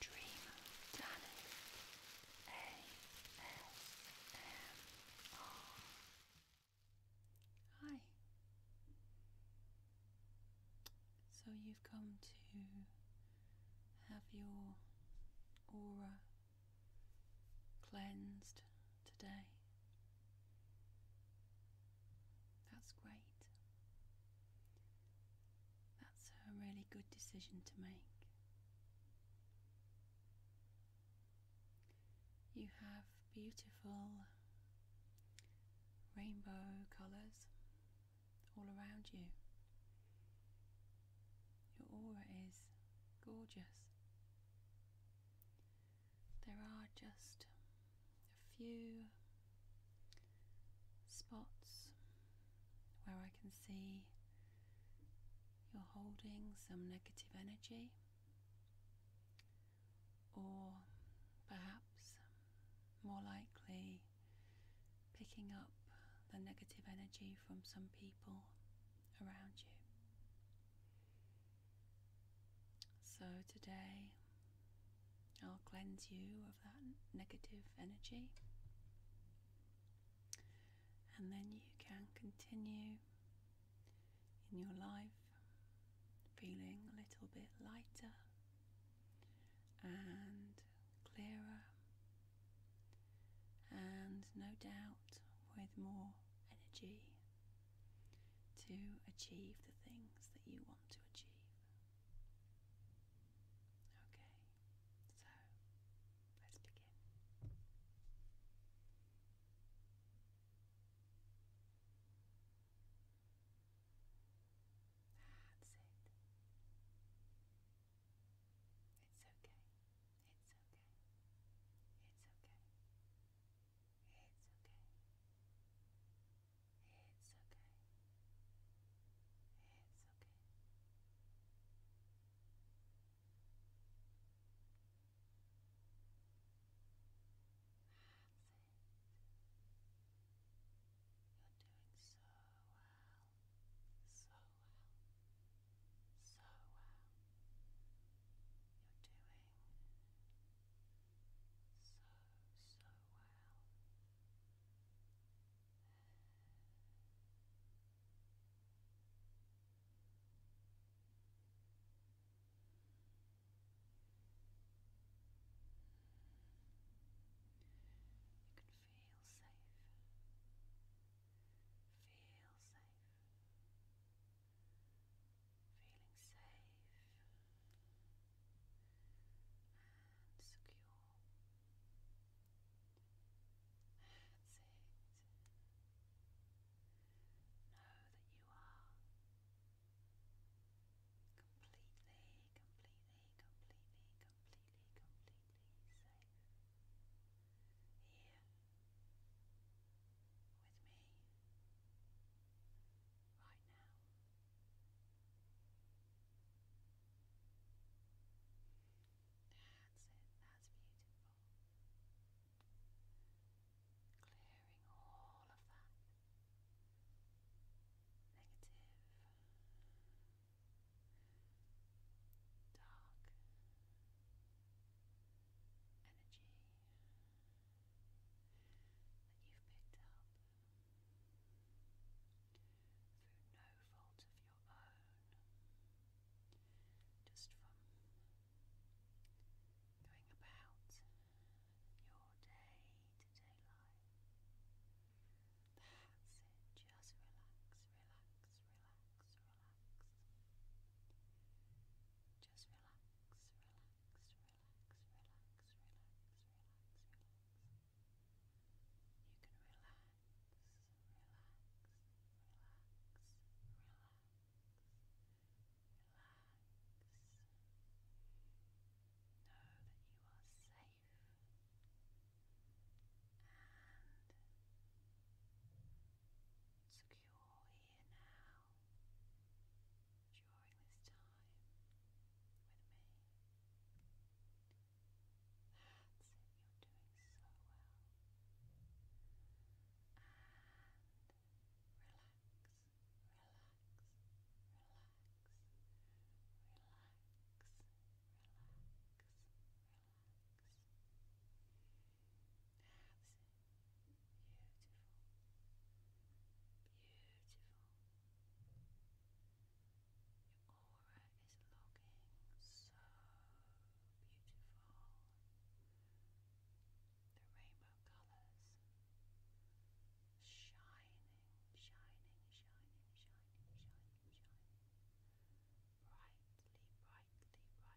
Dream Hi. So you've come to have your aura cleansed today. That's great. That's a really good decision to make. You have beautiful rainbow colours all around you. Your aura is gorgeous. There are just a few spots where I can see you're holding some negative energy or perhaps more likely picking up the negative energy from some people around you. So today I'll cleanse you of that negative energy. And then you can continue in your life feeling a little bit lighter and clearer, and no doubt with more energy to achieve the things that you want to achieve. Okay, so let's begin. That's it. It's okay. It's okay. It's okay. It's okay. It's okay. It's okay. That's it. You're doing so well. So well. So well. You're doing so, so well. You can feel safe. Feel safe. Feeling safe and secure. That's it. Know that you are completely, completely, completely, completely, completely safe here with me right now. That's it, that's beautiful. Clearing all of that negative, dark energy that you've picked up through no fault of your own, just from going about your day to day life. That's it, just relax, relax, relax, relax. Just relax, relax, relax, relax, relax, relax, relax. You can relax, relax, relax, relax, relax. Know that you are safe and secure here now enjoying this time with me. That's it, you're doing so well. And relax, relax, relax, relax, relax, relax. Beautiful. Beautiful. Your aura is looking so beautiful. The rainbow colors shining, shining, shining, shining, shining, shining. Brightly, brightly, brightly, brightly, brightly. That's it.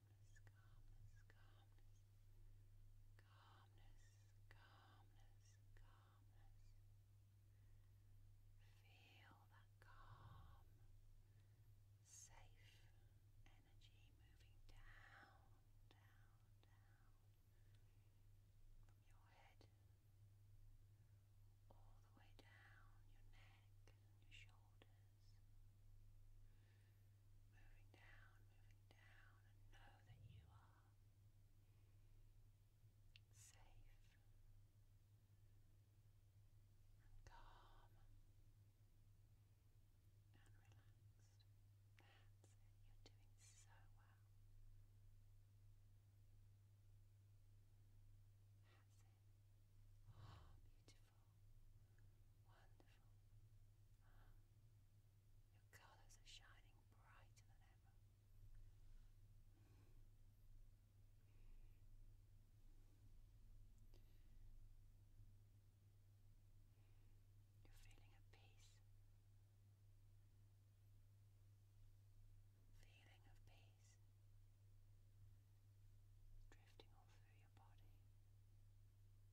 calmness, calmness, calmness, calmness, calmness, calmness. Feel that calm, safe energy moving down, down, down from your head all the way down your neck and your shoulders. Moving down, moving down, and know that you are safe and calm and relaxed. you're doing so well. beautiful. Wonderful. your colours are shining brighter than ever. You're feeling at peace. Feeling of peace drifting all through your body.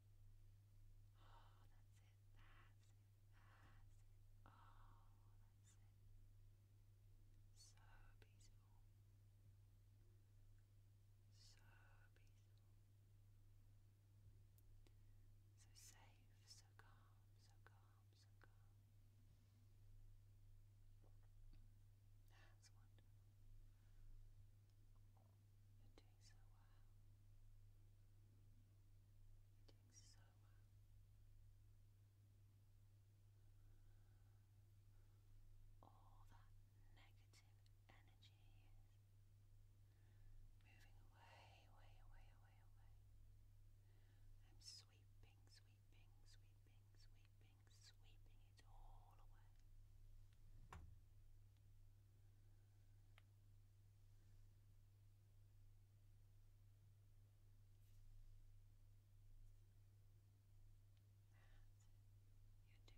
Oh, that's it. That's it. That's it. Oh, that's it. So beautiful. So beautiful. So safe, so calm, so calm, so calm. That's wonderful. It takes a while. It takes so while. All that negative energy is moving away, away, away, away, away. I'm sweeping, sweeping, sweeping, sweeping, sweeping it all away. You're doing so well. Just relax, relax, relax,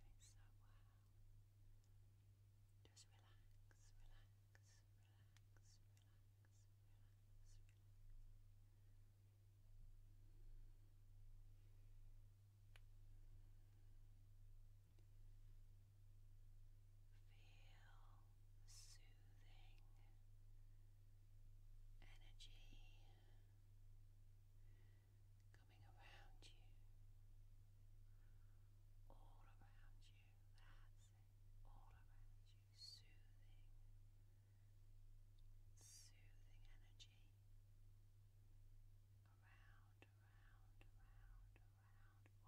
relax, relax, relax the soothing energy coming around you, all around you, all around you, soothing, soothing energy around, around,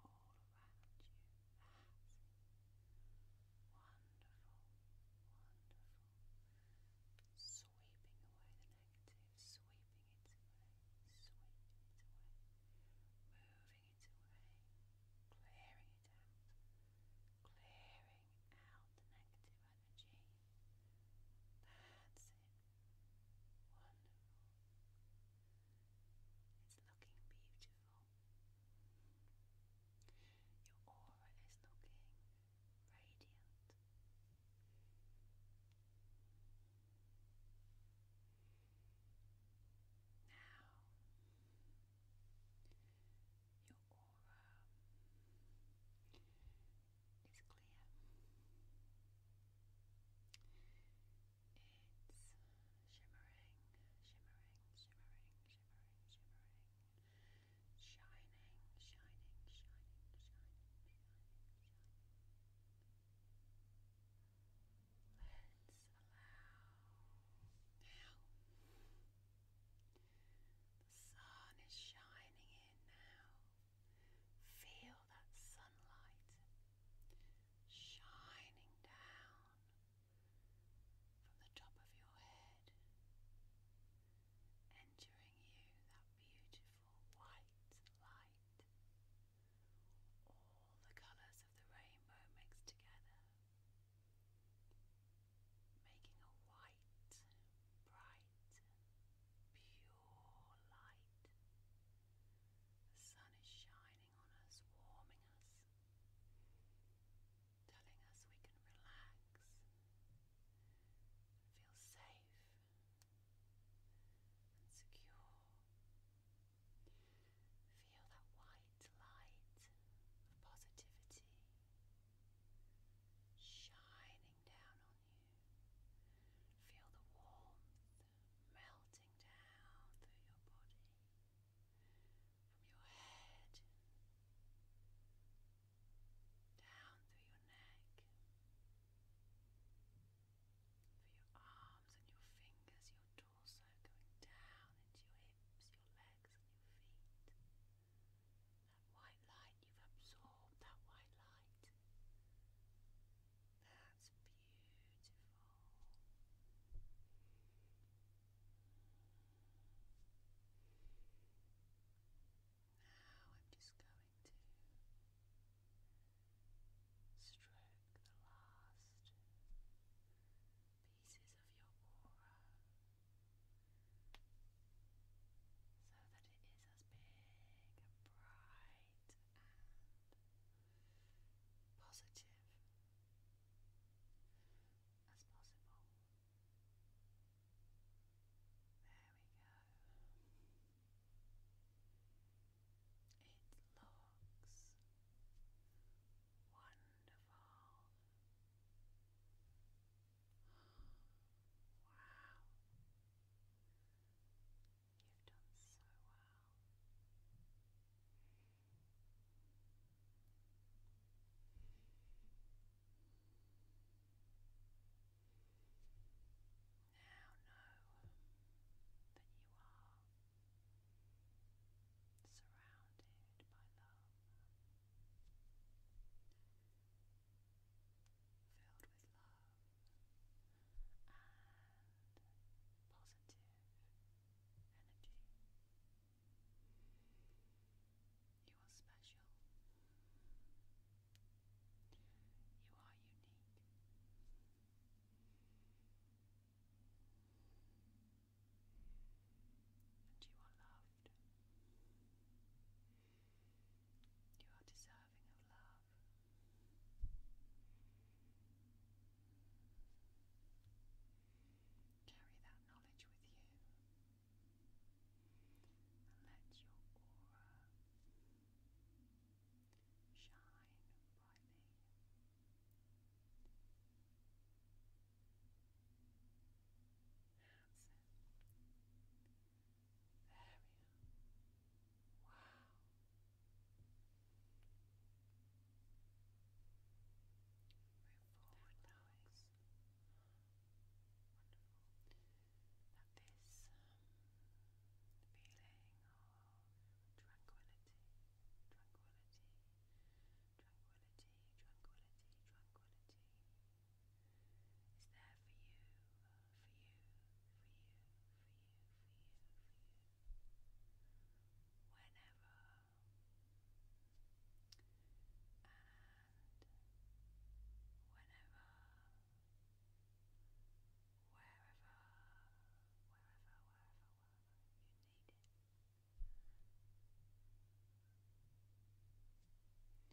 around, around, all around you. That's Wonderful, wonderful. Sweeping away the negative, sweeping it away, sweeping it away, moving it away, clearing it out, clearing out the negative energy. That's it. Wonderful. It's looking beautiful. Your aura is looking radiant. Now, your aura is clear. It's shimmering, shimmering, shimmering, shimmering, shimmering, shining, shining, shining, shining, shining, shining. Let's allow now. The sun is shining in now. Feel that sunlight shining down from the top of your head, entering you that beautiful white light. All the colours of the rainbow mixed together, making a white, bright pure light. The sun is shining on us, warming us, telling us we can relax feel safe and secure. Feel that white light of positivity shining Feel the warmth melting down through your body, from your head, down through your neck, through your arms and your fingers, your torso going down into your hips, your legs, and your feet. That white light, you've absorbed that white light. That's beautiful. Now I'm just going to stroke the last pieces of your aura so that it as big and bright and positive as possible. There we go. It looks wonderful. Wow. You've done so well. Now know that you are surrounded by love filled with love and positive energy. You are special. You are unique. And you are loved. You are deserving of love. Carry that knowledge with you and let your aura shine brightly. There we are. Wow. Move forward now. Wonderful. Now this feeling of tranquility, tranquility, tranquility, tranquility, tranquility it's there for you, for you, for you, for you, for you, for you. Whenever. And whenever. Wherever, wherever, wherever, wherever you need it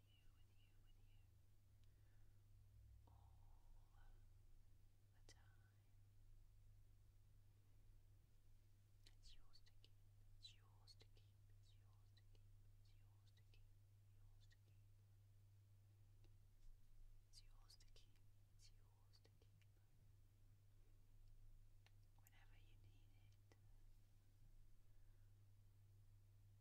you, you, It's yours to keep, it's yours to keep, it's yours to keep, it's yours to keep. It's yours to keep, it's yours to keep. Whenever you need it,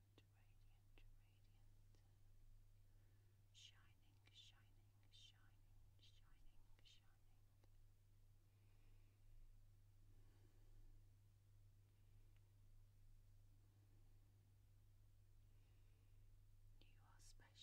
radiant, radiant, Shining, shining, shining, shining, shining. You are special, you are special, you are special, you are special. You are unique.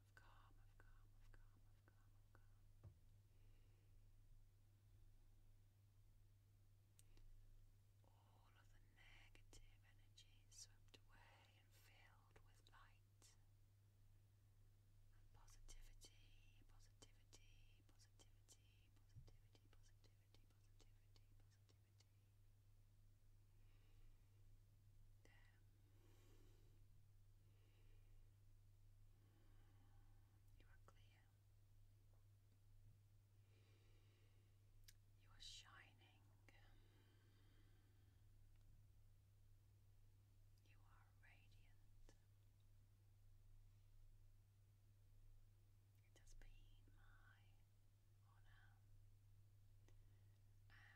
of calm, All of the negative energy swept away and filled with light positivity, positivity, positivity, positivity, positivity, positivity, positivity. You are clear. You are shining. You are radiant. It has my honor and my pleasure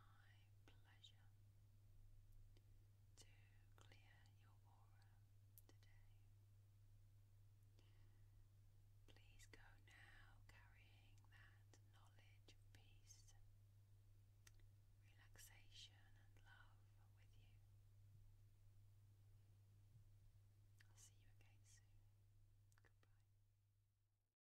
to clear your aura today. Please go now carrying that knowledge of peace, relaxation, and love with you. I'll see you again soon. Goodbye.